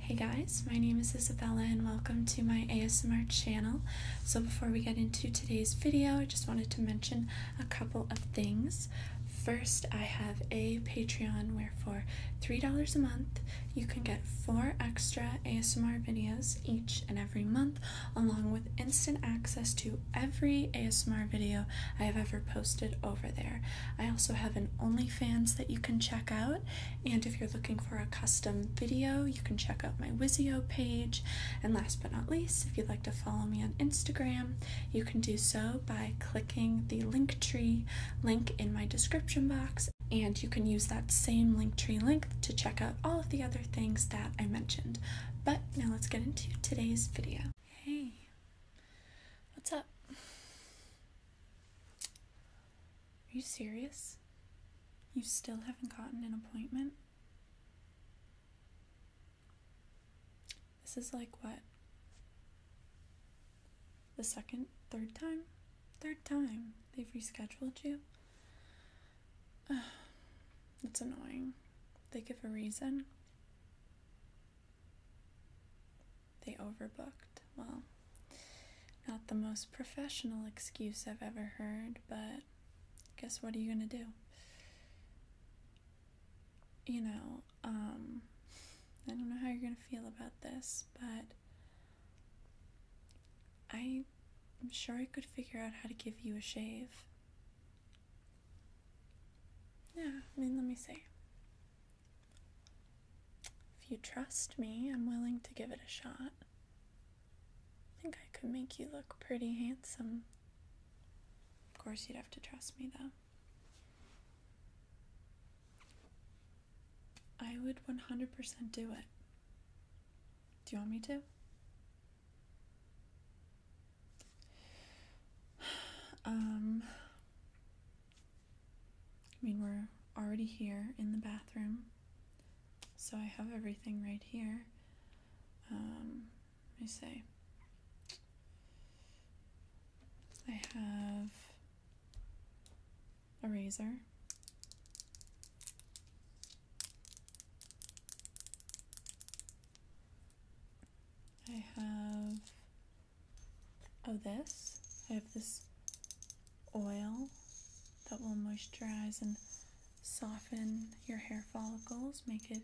Hey guys, my name is Isabella and welcome to my ASMR channel. So before we get into today's video, I just wanted to mention a couple of things. First, I have a Patreon where for $3 a month, you can get four extra ASMR videos each and every month, along with instant access to every ASMR video I have ever posted over there. I also have an OnlyFans that you can check out and if you're looking for a custom video, you can check out my Wizio page. And last but not least, if you'd like to follow me on Instagram, you can do so by clicking the link tree link in my description box. And you can use that same Linktree link to check out all of the other things that I mentioned. But now let's get into today's video. Hey, what's up? Are you serious? You still haven't gotten an appointment? This is like what? The second, third time? Third time they've rescheduled you? It's annoying. They give a reason. They overbooked. Well, not the most professional excuse I've ever heard, but guess what are you going to do? You know, um, I don't know how you're going to feel about this, but I'm sure I could figure out how to give you a shave. Yeah, I mean, let me see. If you trust me, I'm willing to give it a shot. I think I could make you look pretty handsome. Of course, you'd have to trust me, though. I would 100% do it. Do you want me to? Um, I mean, we're already here in the bathroom, so I have everything right here. Um, let me say, I have a razor. I have of oh, this. I have this oil that will moisturize and soften your hair follicles, make it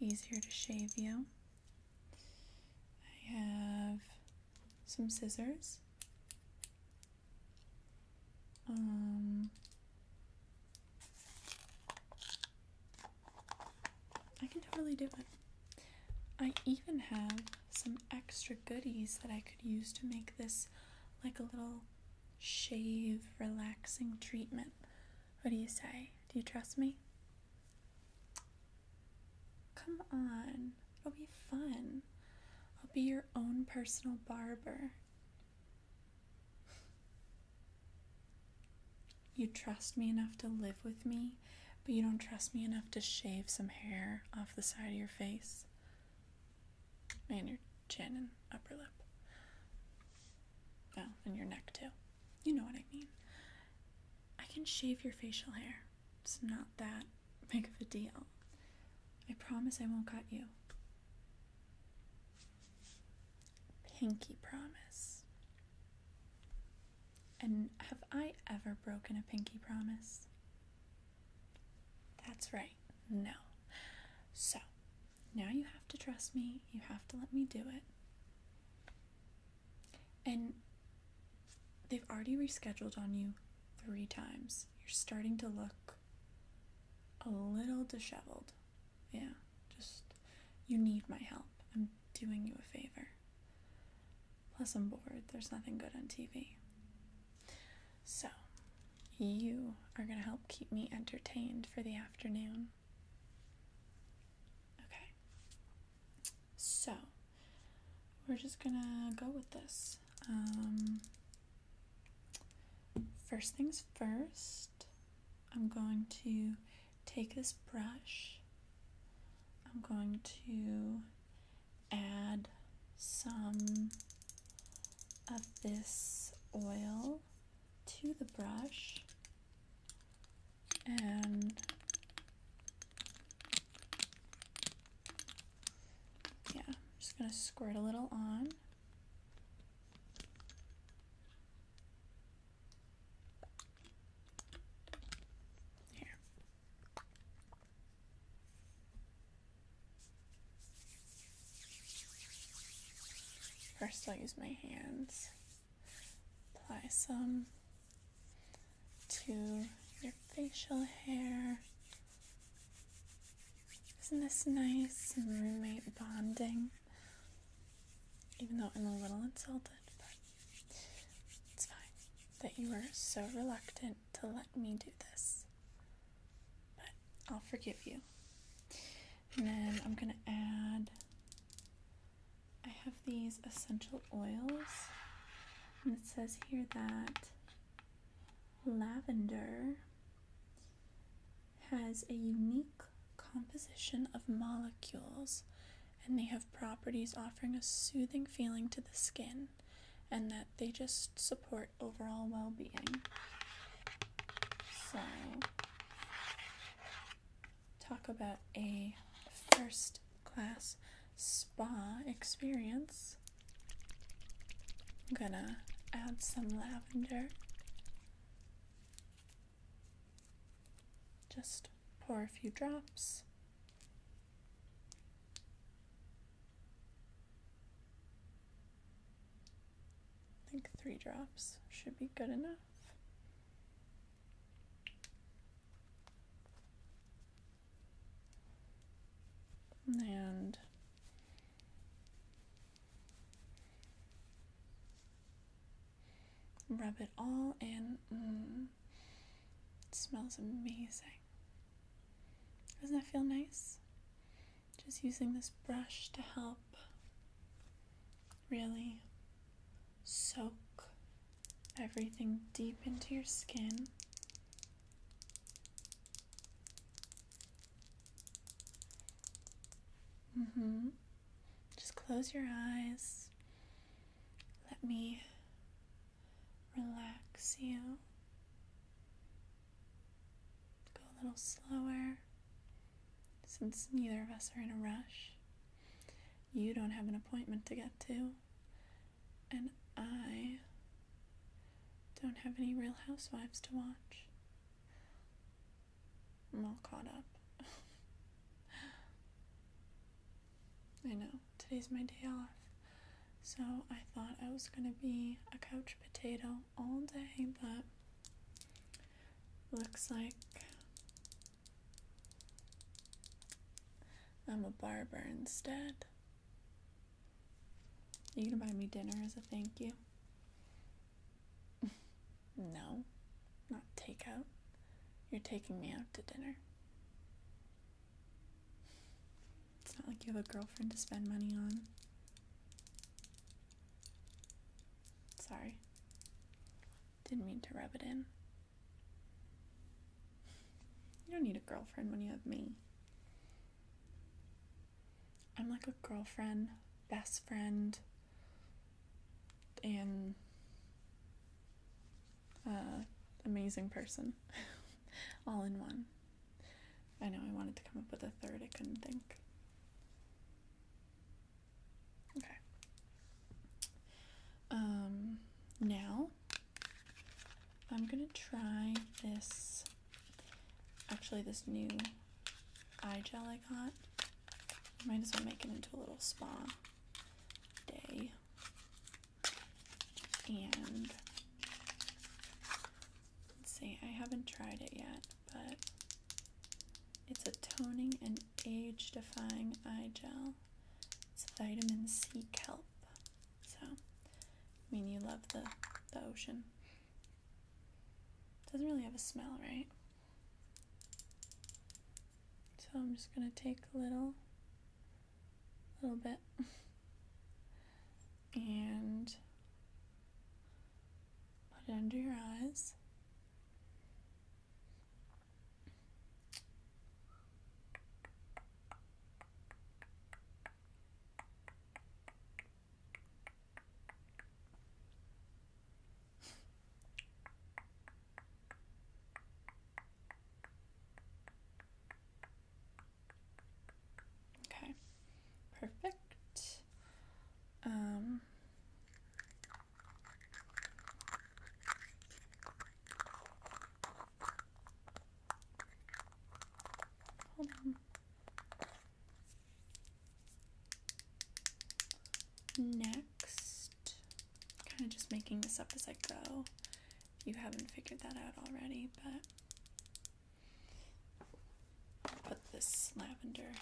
easier to shave you. I have some scissors. Um, I can totally do it. I even have some extra goodies that I could use to make this like a little shave relaxing treatment. What do you say? Do you trust me? Come on, it'll be fun. I'll be your own personal barber. You trust me enough to live with me? but you don't trust me enough to shave some hair off the side of your face and your chin and upper lip. Oh, and your neck too. You know what I mean. I can shave your facial hair. It's not that big of a deal. I promise I won't cut you. Pinky promise. And have I ever broken a pinky promise? That's right, no. So, now you have to trust me, you have to let me do it. And they've already rescheduled on you three times. You're starting to look a little disheveled. Yeah, just you need my help. I'm doing you a favor. Plus, I'm bored. There's nothing good on TV. So, you are going to help keep me entertained for the afternoon. Okay. So, we're just going to go with this. Um, first things first, I'm going to take this brush, I'm going to add some of this oil to the brush and yeah, I'm just going to squirt a little on. Here. First, I'll use my hands. Apply some to your facial hair. Isn't this nice? roommate bonding. Even though I'm a little insulted, it's fine that you were so reluctant to let me do this, but I'll forgive you. And then I'm gonna add. I have these essential oils, and it says here that lavender has a unique composition of molecules and they have properties offering a soothing feeling to the skin and that they just support overall well being. So, talk about a first class spa experience. I'm gonna add some lavender just pour a few drops. I think three drops should be good enough. And rub it all in. Mm. It smells amazing. Doesn't that feel nice? Just using this brush to help really soak everything deep into your skin. hmm Just close your eyes. Let me relax you. Go a little slower. Since neither of us are in a rush, you don't have an appointment to get to, and I don't have any real housewives to watch. I'm all caught up. I know, today's my day off. So I thought I was gonna be a couch potato all day, but looks like I'm a barber instead. you gonna buy me dinner as a thank you? No, not takeout. You're taking me out to dinner. It's not like you have a girlfriend to spend money on. Sorry. Didn't mean to rub it in. You don't need a girlfriend when you have me. I'm like a girlfriend, best friend, and uh, amazing person, all in one. I know I wanted to come up with a third, I couldn't think. Okay. Um, now I'm gonna try this, actually this new eye gel I got. might as well make it into a little spa day. And let's see, I haven't tried it yet, but it's a toning and age defying eye gel. It's vitamin C kelp. So, I mean, you love the, the ocean. Doesn't really have a smell, right? So I'm just going to take a little, little bit and put it under your eyes. Okay, perfect. Um, hold on. Next, kind of just making this up as I go. you haven't figured that out already, but put this lavender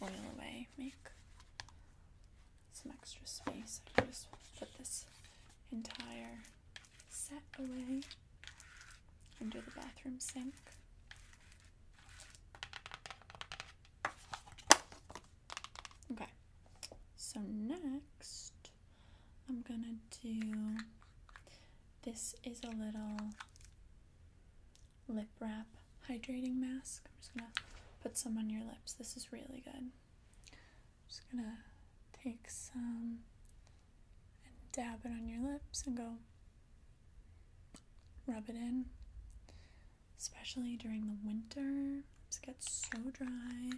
oil away, make some extra space. I can just put this entire set away under the bathroom sink. Okay, so next I'm gonna do this is a little lip wrap hydrating mask. I'm just gonna put some on your lips. This is really good. I'm just gonna take some and dab it on your lips and go rub it in especially during the winter. It gets so dry.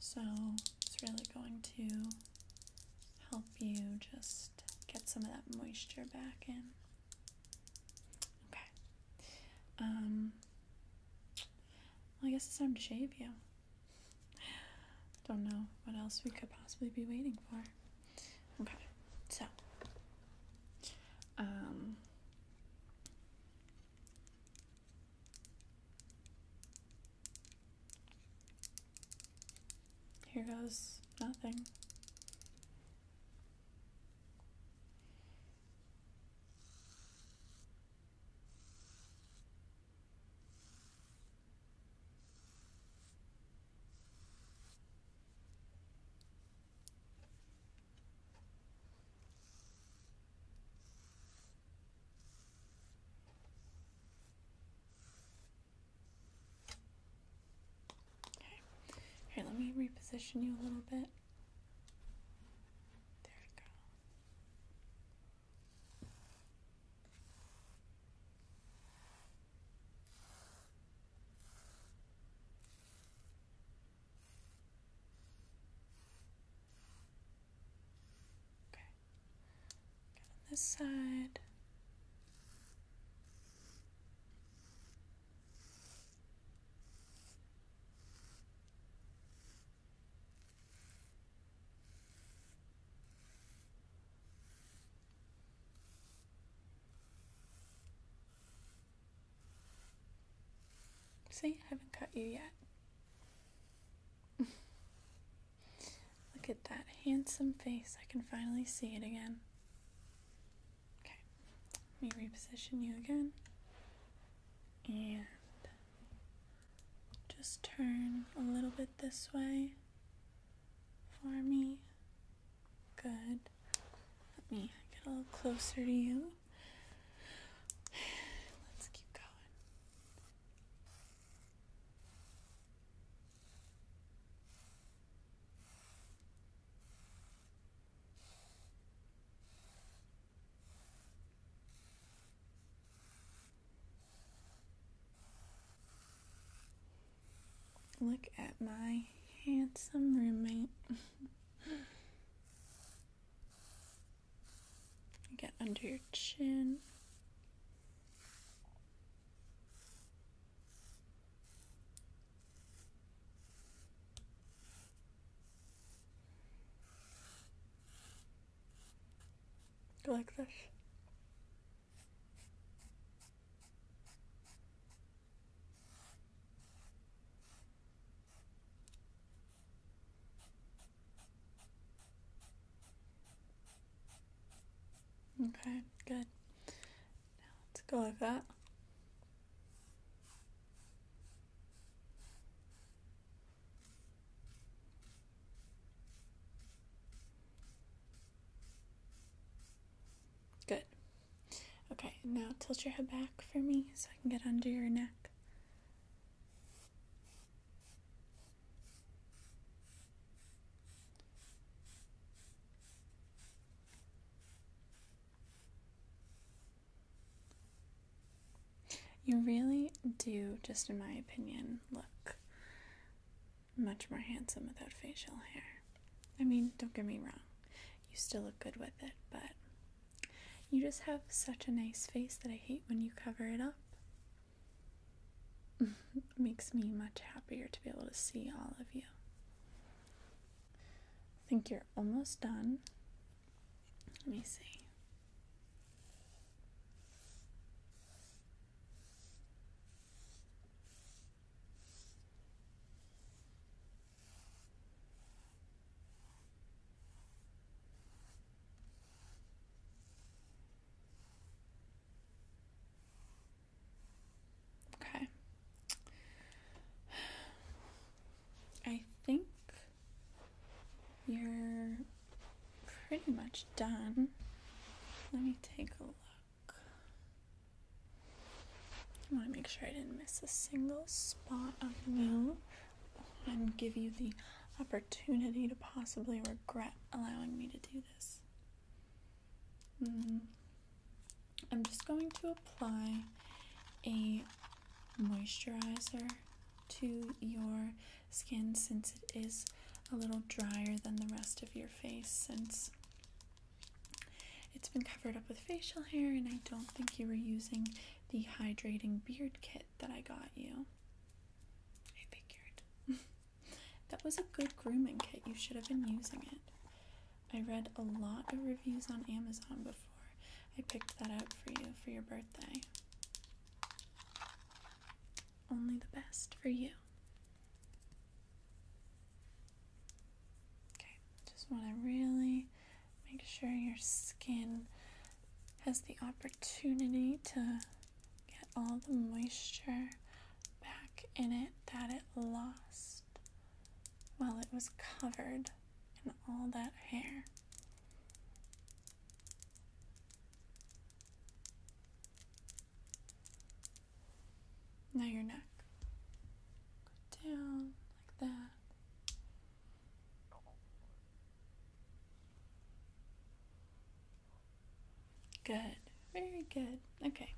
So it's really going to help you just get some of that moisture back in. Okay. Um, well, I guess it's time to shave you. Don't know what else we could possibly be waiting for. Okay, so um, here goes nothing. Okay. Here, let me reposition you a little bit. There we go. Okay. Again on this side. See, I haven't cut you yet. Look at that handsome face. I can finally see it again. Okay, let me reposition you again. And just turn a little bit this way for me. Good. Let me get a little closer to you. Let's keep going. Look at my handsome roommate. Get under your chin. Go like this. Okay, good. Now let's go like that. Good. Okay, now tilt your head back for me so I can get under your neck. You really do, just in my opinion, look much more handsome without facial hair. I mean, don't get me wrong, you still look good with it, but you just have such a nice face that I hate when you cover it up. makes me much happier to be able to see all of you. I think you're almost done. Let me see. Okay. I think you're pretty much done. Let me take a look. I want to make sure I didn't miss a single spot of you and give you the opportunity to possibly regret allowing me to do this. Mm-hmm. I'm just going to apply a moisturizer to your skin since it is a little drier than the rest of your face since it's been covered up with facial hair, and I don't think you were using the hydrating beard kit that I got you. I figured. that was a good grooming kit. You should have been using it. I read a lot of reviews on Amazon before I picked that up for you for your birthday. Only the best for you. Okay, just want to really make sure your skin has the opportunity to get all the moisture back in it that it lost while it was covered in all that hair. Now your neck. Go down like that. Good. Very good. Okay.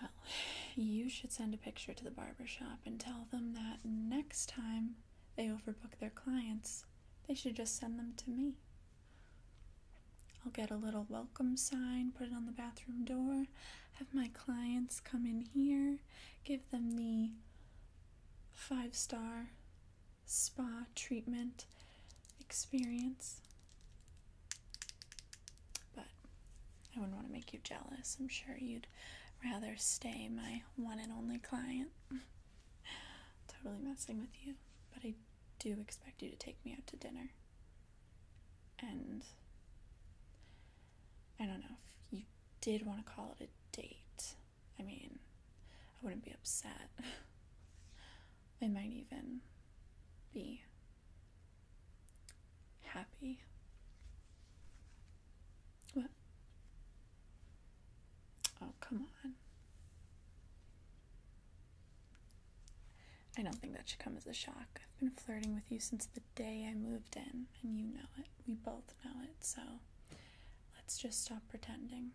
Well, you should send a picture to the barber shop and tell them that next time they overbook their clients, they should just send them to me. I'll get a little welcome sign, put it on the bathroom door, have my clients come in here, give them the five star spa treatment experience. But I wouldn't want to make you jealous. I'm sure you'd rather stay my one and only client. totally messing with you, but I do expect you to take me out to dinner. And I don't know if you did want to call it a date. I mean, I wouldn't be upset. I might even be happy. What? Oh, come on. I don't think that should come as a shock. I've been flirting with you since the day I moved in, and you know it. We both know it, so let's just stop pretending.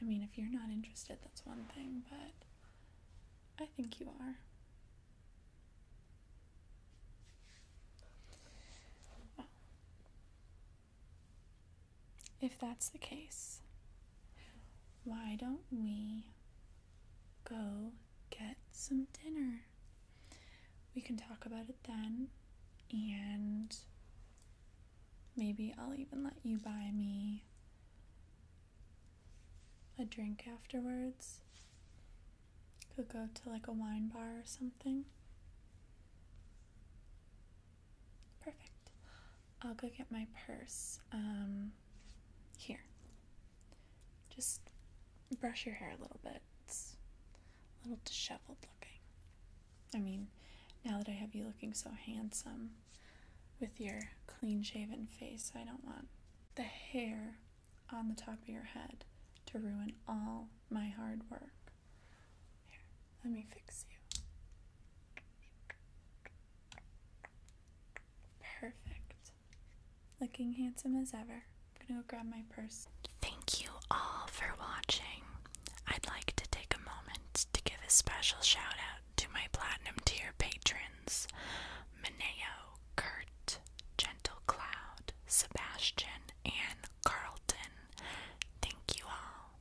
I mean, if you're not interested, that's one thing, but I think you are. If that's the case, why don't we go get some dinner? We can talk about it then, and maybe I'll even let you buy me a drink afterwards. Could go to like a wine bar or something. Perfect. I'll go get my purse. Um, here. Just brush your hair a little bit. It's a little disheveled looking. I mean, now that I have you looking so handsome with your clean shaven face, I don't want the hair on the top of your head to ruin all my hard work. Here, let me fix you. Perfect. Looking handsome as ever. I'm gonna go grab my purse. Thank you all for watching. I'd like to take a moment to give a special shout out to my platinum tier patrons Mineo, Kurt, Gentle Cloud, Sebastian, and Carlton. Thank you all.